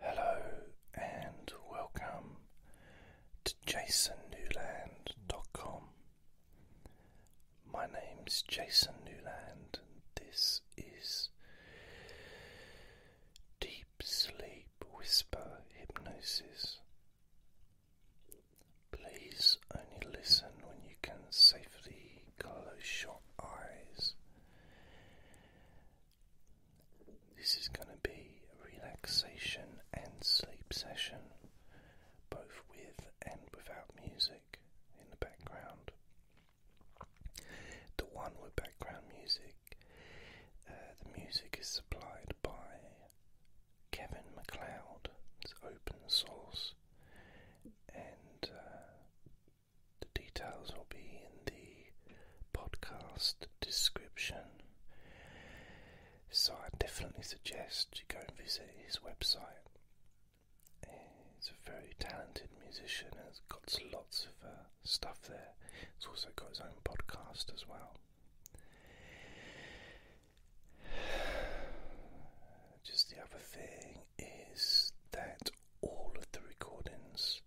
Hello and welcome to jasonnewland.com. My name's Jason Newland, and this is Deep Sleep Whisper Hypnosis. Please only listen when you can safely close your eyes this is going to be a relaxation and sleep session, both with and without music in the background. The one with background music, uh, the music is supplied by Kevin McLeod, it's open source, and uh, the details will be in the podcast description. So I definitely suggest you go and visit his website. He's a very talented musician and has got lots of uh, stuff there. He's also got his own podcast as well. Just the other thing is that all of the recordings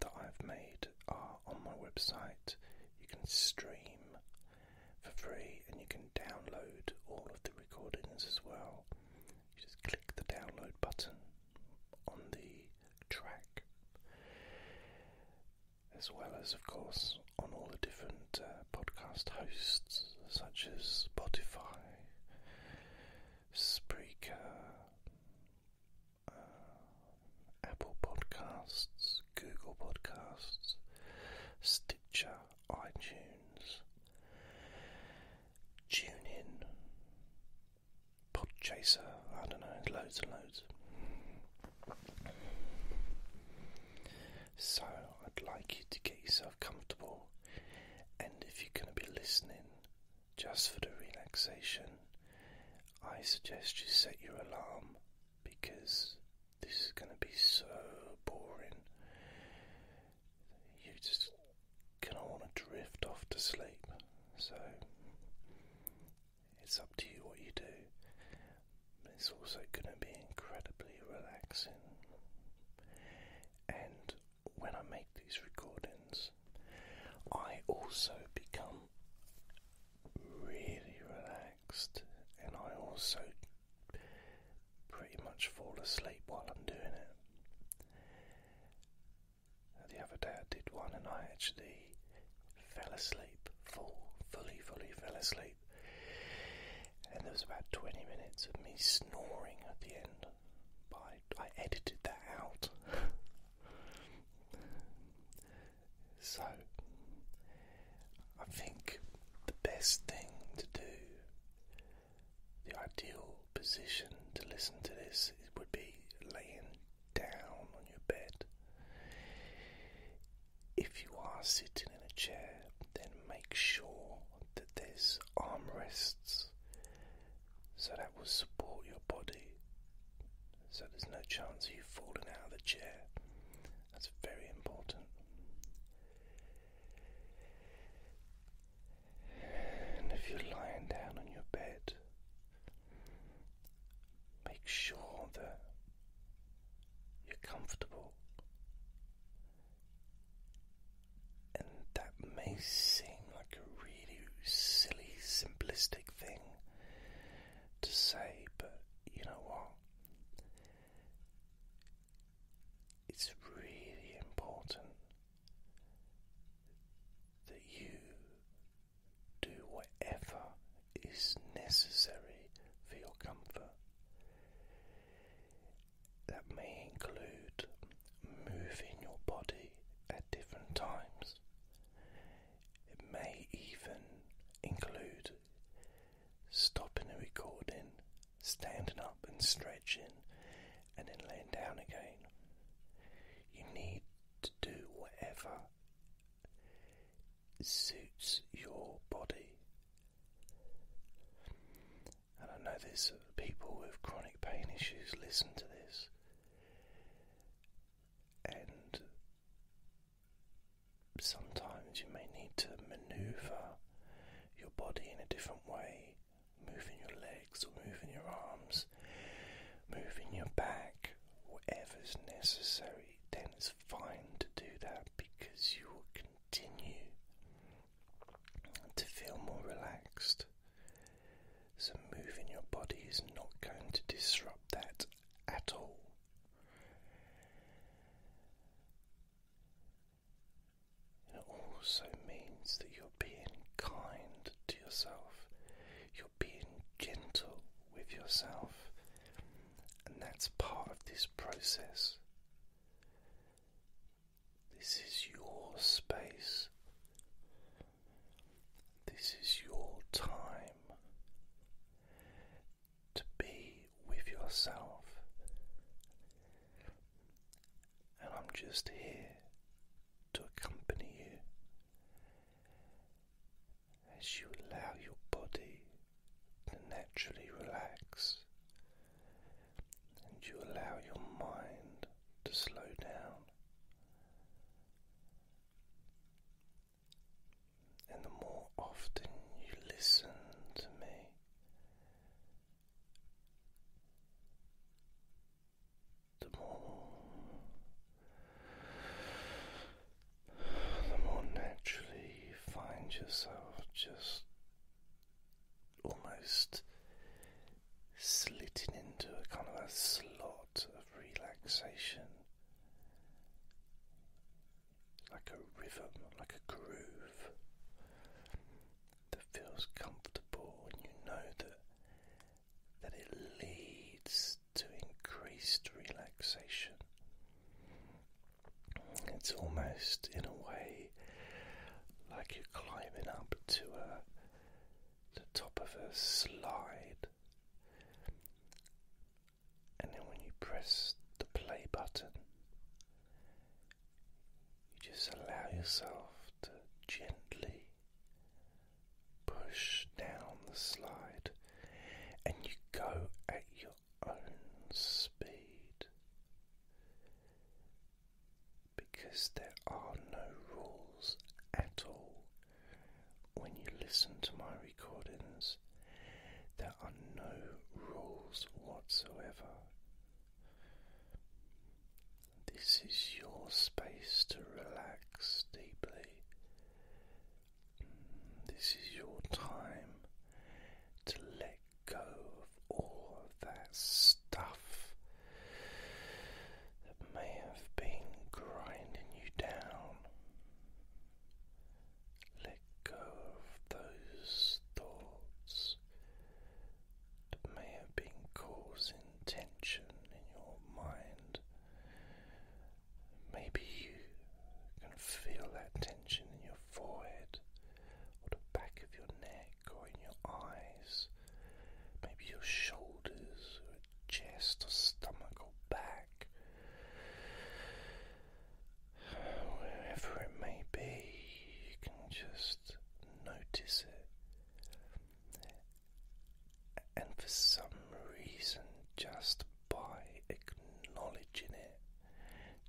that I've made are on my website. You can stream for free and you can download all of the recordings as well. You just click the download button on the track, as well as, of course, on all the different uh, podcast hosts such as Spotify, Spreaker, uh, Apple Podcasts, Google Podcasts, Stitcher, iTunes, TuneIn, Podchaser, I don't know, loads and loads. So I'd like you to get yourself comfortable, and if you're going to be listening just for the relaxation, I suggest you set your alarm because this is going to be so boring. you just going to want to drift off to sleep. So it's up to you what you do. It's also going to be incredibly relaxing. And when I make these recordings, I also become really relaxed and I also pretty much fall asleep while I'm doing it. The other day I did one and I actually fell asleep, full, fully, fully fell asleep. And there was about 20 minutes of me snoring at the end by I, edited that out. so, I think the best thing to do, the ideal position to listen to this, would be laying down on your bed. If you are sitting in a chair, then make sure that there's armrests so that will support your body so there's no chance of you falling out of the chair. That's very important. And if you're lying down on your bed, make sure that you're comfortable. And that may seem like a really silly, simplistic thing to say, but you know what? It's really important that you do whatever is necessary for your comfort. That may include moving your body at different times. It may even include stopping the recording, standing up and stretching, and then laying down again. You need to do whatever suits your body. And I know there's people with chronic pain issues listen to this and sometimes you may need to maneuver your body in a different way, moving your legs or moving your arms, moving your back, whatever is necessary, then it's fine to do that because you will continue to feel more relaxed. So, moving your body is not going to disrupt that at all. it also means that you're being kind to yourself, you're being gentle with yourself, and that's part of this process. This is your space. This is your time to be with yourself, and I'm just here to accompany you as you allow your body to naturally relax and you allow your mind to slow down. And the more often you listen to me, the more the more naturally you find yourself just almost slitting into a kind of a slot of relaxation, like a rhythm, like a groove that feels comfortable, and you know that that it leads to increased relaxation. It's almost in a way like you're climbing up to a the top of a slide, and then when you press the play button, you just allow yourself to gently push down the slide, and you go at your own speed because there are no rules at all. When you listen to my recordings, there are no rules whatsoever. This is your space to relax deeply. This is your time to let go of all of that stuff that may have been grinding you down. Let go of those thoughts that may have been causing tension in your mind. Maybe you can feel that tension in your forehead or the back of your neck or in your eyes maybe your shoulders or chest or stomach or back, wherever it may be, you can just notice it. And for some reason, just by acknowledging it,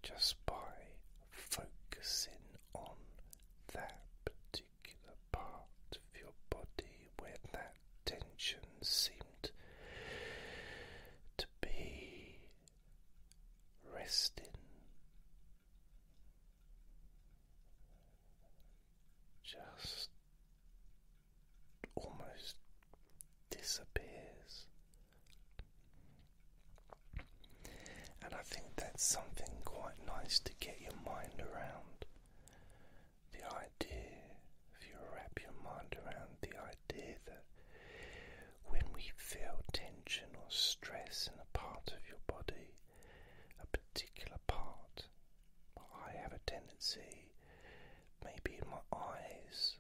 just by focusing on that part of your body where that tension seemed to be resting. Just almost disappears, and I think that's something quite nice to get your mind around. The idea, if you wrap your mind around the idea that when we feel tension or stress in a part of your body, a particular part, I have a tendency, maybe in my eyes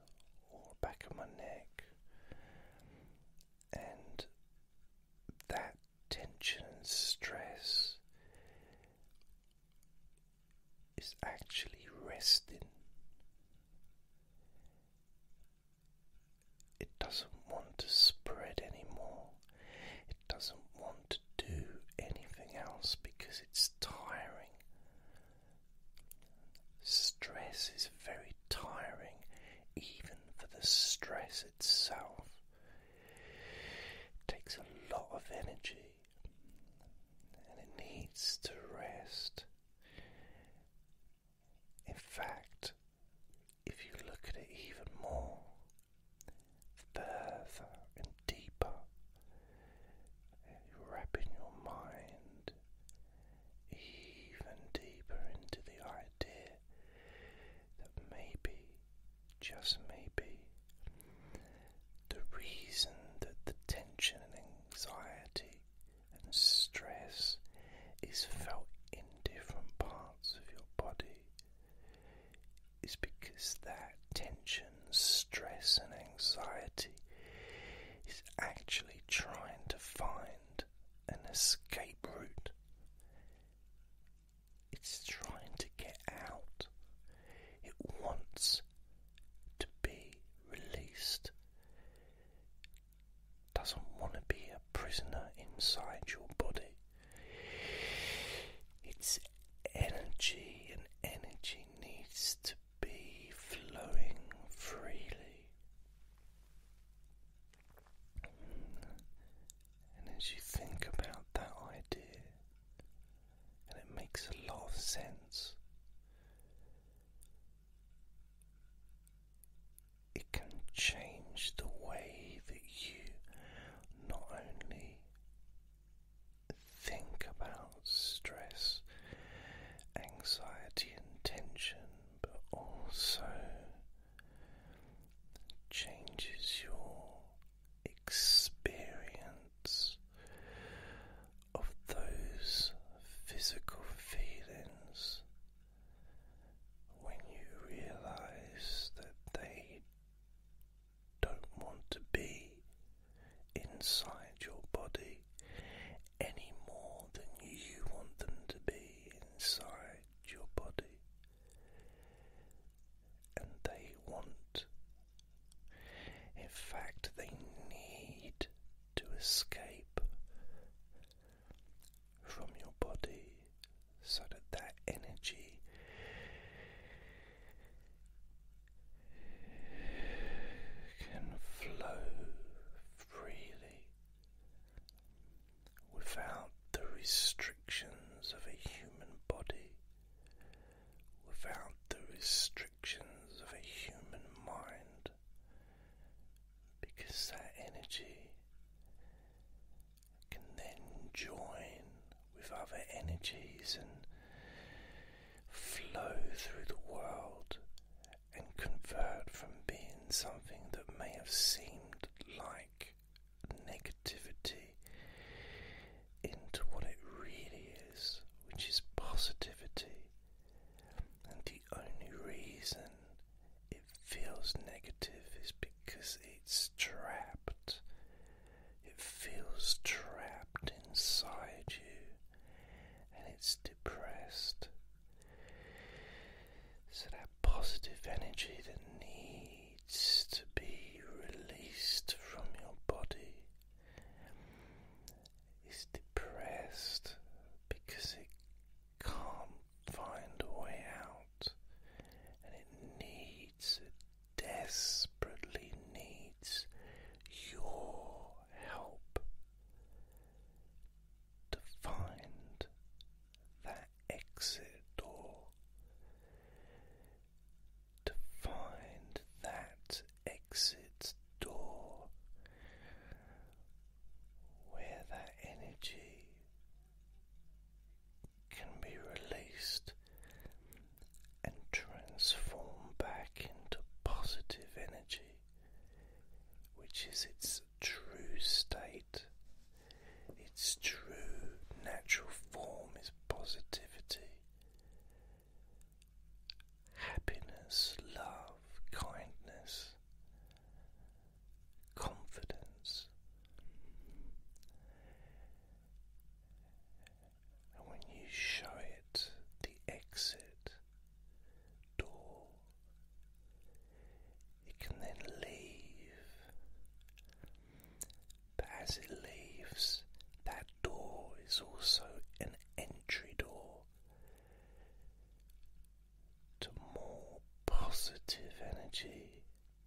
or back of my neck, and that tension and stress is actually resting. It doesn't want to spread anymore. It doesn't want to do anything else because it's tiring. Stress is very tiring, even for the stress itself. It takes a lot of energy and it needs to rest. In fact, if you look at it even more, further and deeper, wrapping your mind even deeper into the idea that maybe, just maybe, the reason that the tension and anxiety and stress is felt in different parts of your body is because that tension, stress, and anxiety is actually trying to find an escape route it's trying to get out. It wants to be released. Doesn't want to be a prisoner inside your body. Its energy and energy needs to be flowing freely. And as you think about that idea, and it makes a lot of sense, it can change the way that you not only think about stress, anxiety, and tension, but also changes your experience of those physical feelings when you realize that they don't want to be inside your body any more than you want them to be inside your body and they want. In fact, they need to escape from your body so that that energy can flow freely without the restrictions of a human body, without the restrictions of a human mind, because that energy can then join with other energies and flow through the world and convert from being something that may have seemed like negativity into what it really is, which is positivity. And the only reason it feels negative is because it's trapped. It feels trapped inside you and it's depressed. So positive energy that needs to be released from your body is depressed because it can't find a way out and it needs, desperately needs your help to find that exit door, to find that exit door where that energy can be released and transform back into positive energy, which is its true state. Its true natural form is positivity. Happiness, love, kindness, confidence. And when you show it the exit door, you can then leave. But as it leaves, that door is also an entry door to more positive energy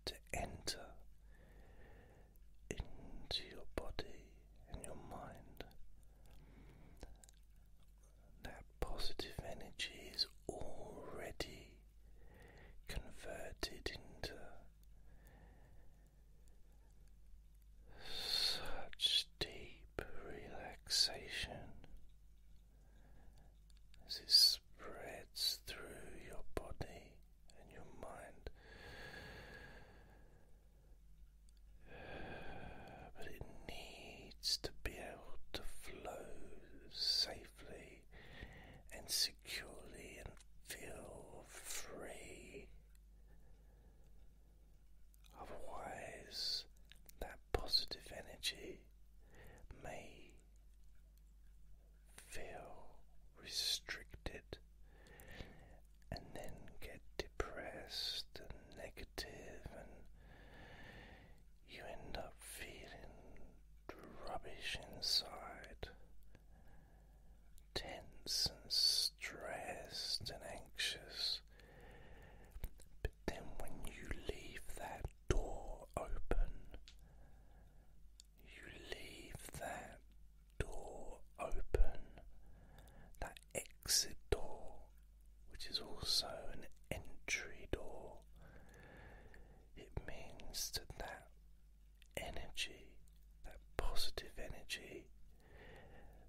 to enter into your body and your mind. That positive energy is already converted into such deep relaxation as it spreads through your body and your mind. But it needs to be able to flow safely and securely securely and feel free. Otherwise, that positive energy may feel restricted and then get depressed and negative, and you end up feeling rubbish inside, tense and stressed and anxious. But then when you leave that door open, you leave that door open, that exit door, which is also an entry door it means that that energy, that positive energy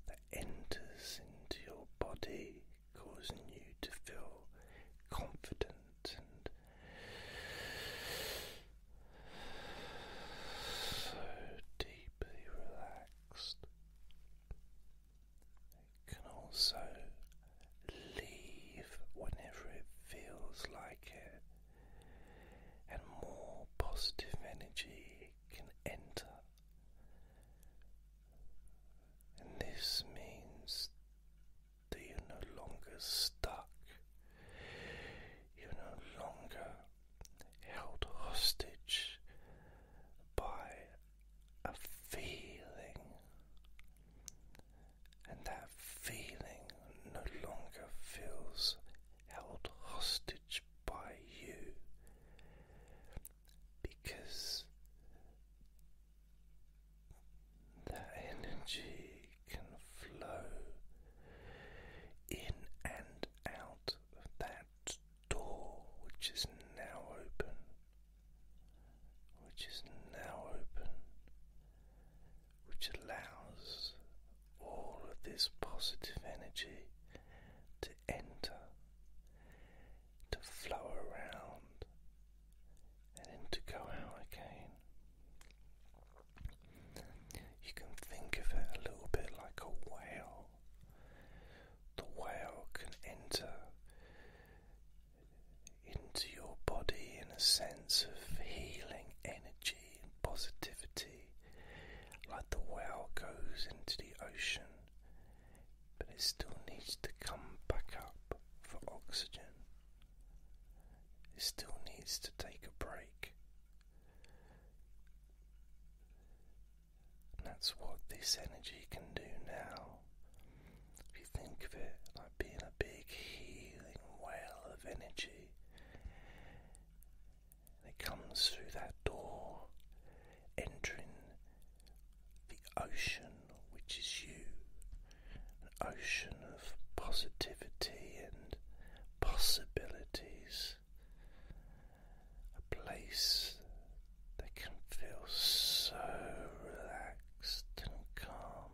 that enters into your body, causing you to feel confident and so deeply relaxed. It can also leave whenever it feels like it, and more positive energy can enter. And this means that you're no longer stuck, you're no longer held hostage by a feeling and that feeling no longer feels held hostage by you because that energy can flow in and out of that door which is now open. Which is now open, which allows all of this positive energy to enter, to flow around, and then to go out again. You can think of it a little bit like a whale. The whale can enter into your body in a sense of healing energy and positivity, like the well goes into the ocean, but it still needs to come back up for oxygen. It still needs to take a break. that's what this energy can do now if you think of it like being a big healing well of energy, it comes through that door, entering the ocean, which is you an ocean of positivity and possibilities, a place that can feel so relaxed and calm.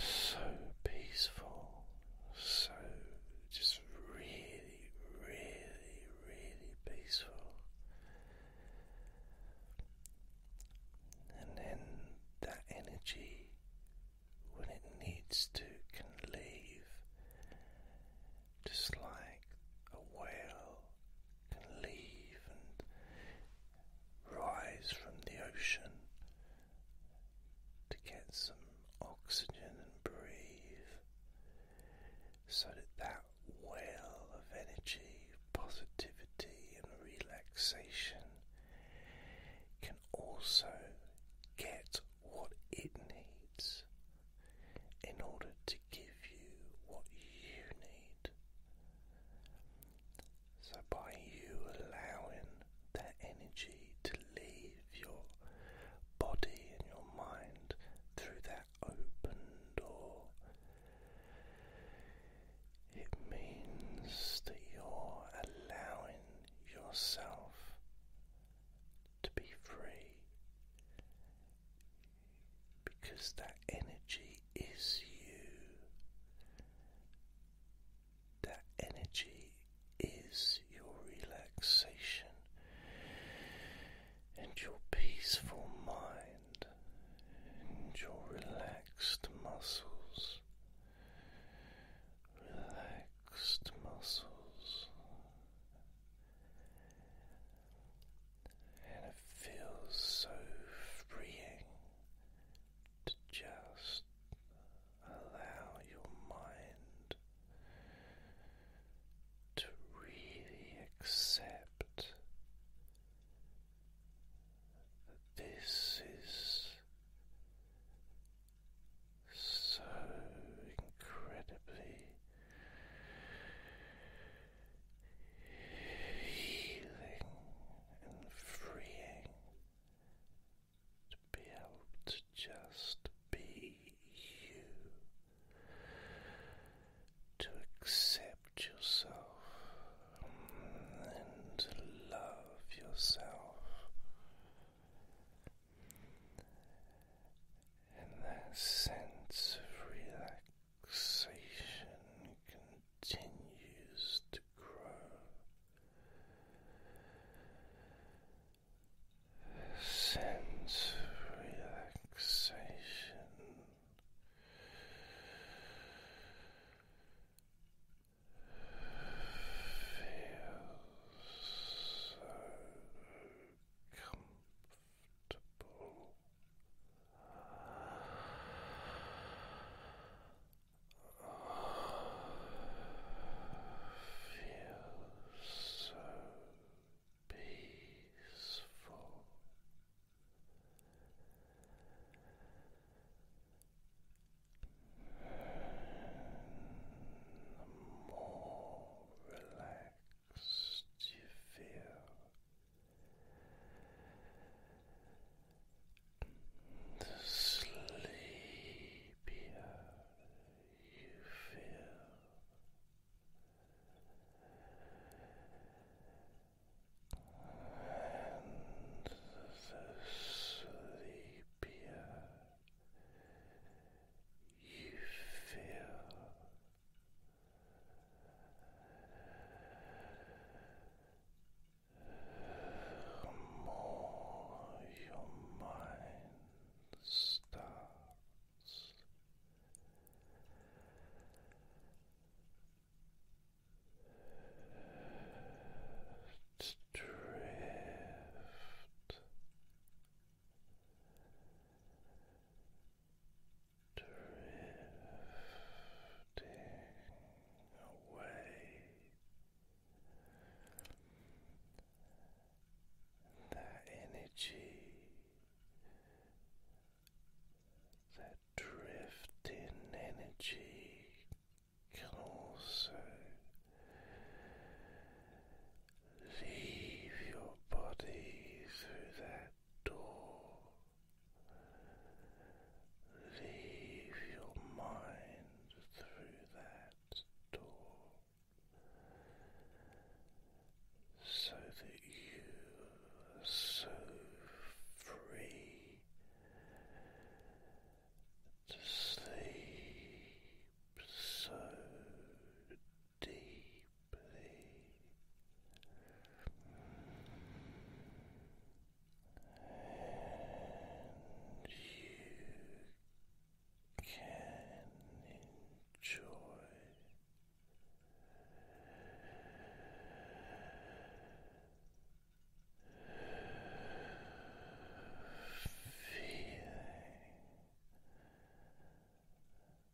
So peaceful, so just really, really, really peaceful. And then that energy, when it needs to, can leave just like a whale can leave and rise from the ocean to get some oxygen and breathe so that that whale of energy, positivity, and relaxation can also get what it needs in order to give you what you need. So, by you allowing that energy to leave your body and your mind through that open door, it means that you're allowing yourself to be free because that energy is you. That energy is your relaxation and your peaceful mind and your relaxed muscles. Relaxed muscles and it feels so freeing to just allow your mind to really accept that this is so incredibly healing and freeing to be able to just be you, to accept yourself and love yourself. And that sense of relaxation relaxation continues to grow. sense of relaxation. Feels so comfortable. Feel so peaceful. the more relaxed you feel, the sleepier you feel. And the sleepier you feel, the more your mind starts to drift drifting away. That energy, that drifting energy can also leave your body through that door Leave your mind through that door so that you are so free to sleep so deeply and you can enjoy. Feeling so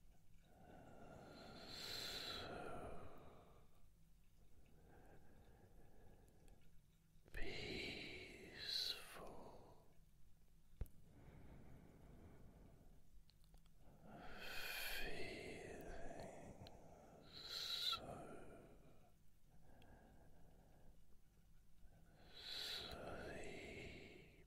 peaceful. Feeling so sleepy.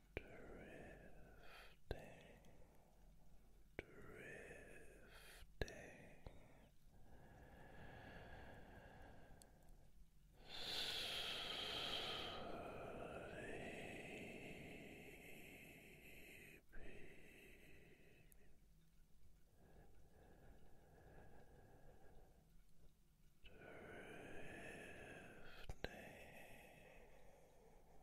drifting, drifting sleepy. Drifting,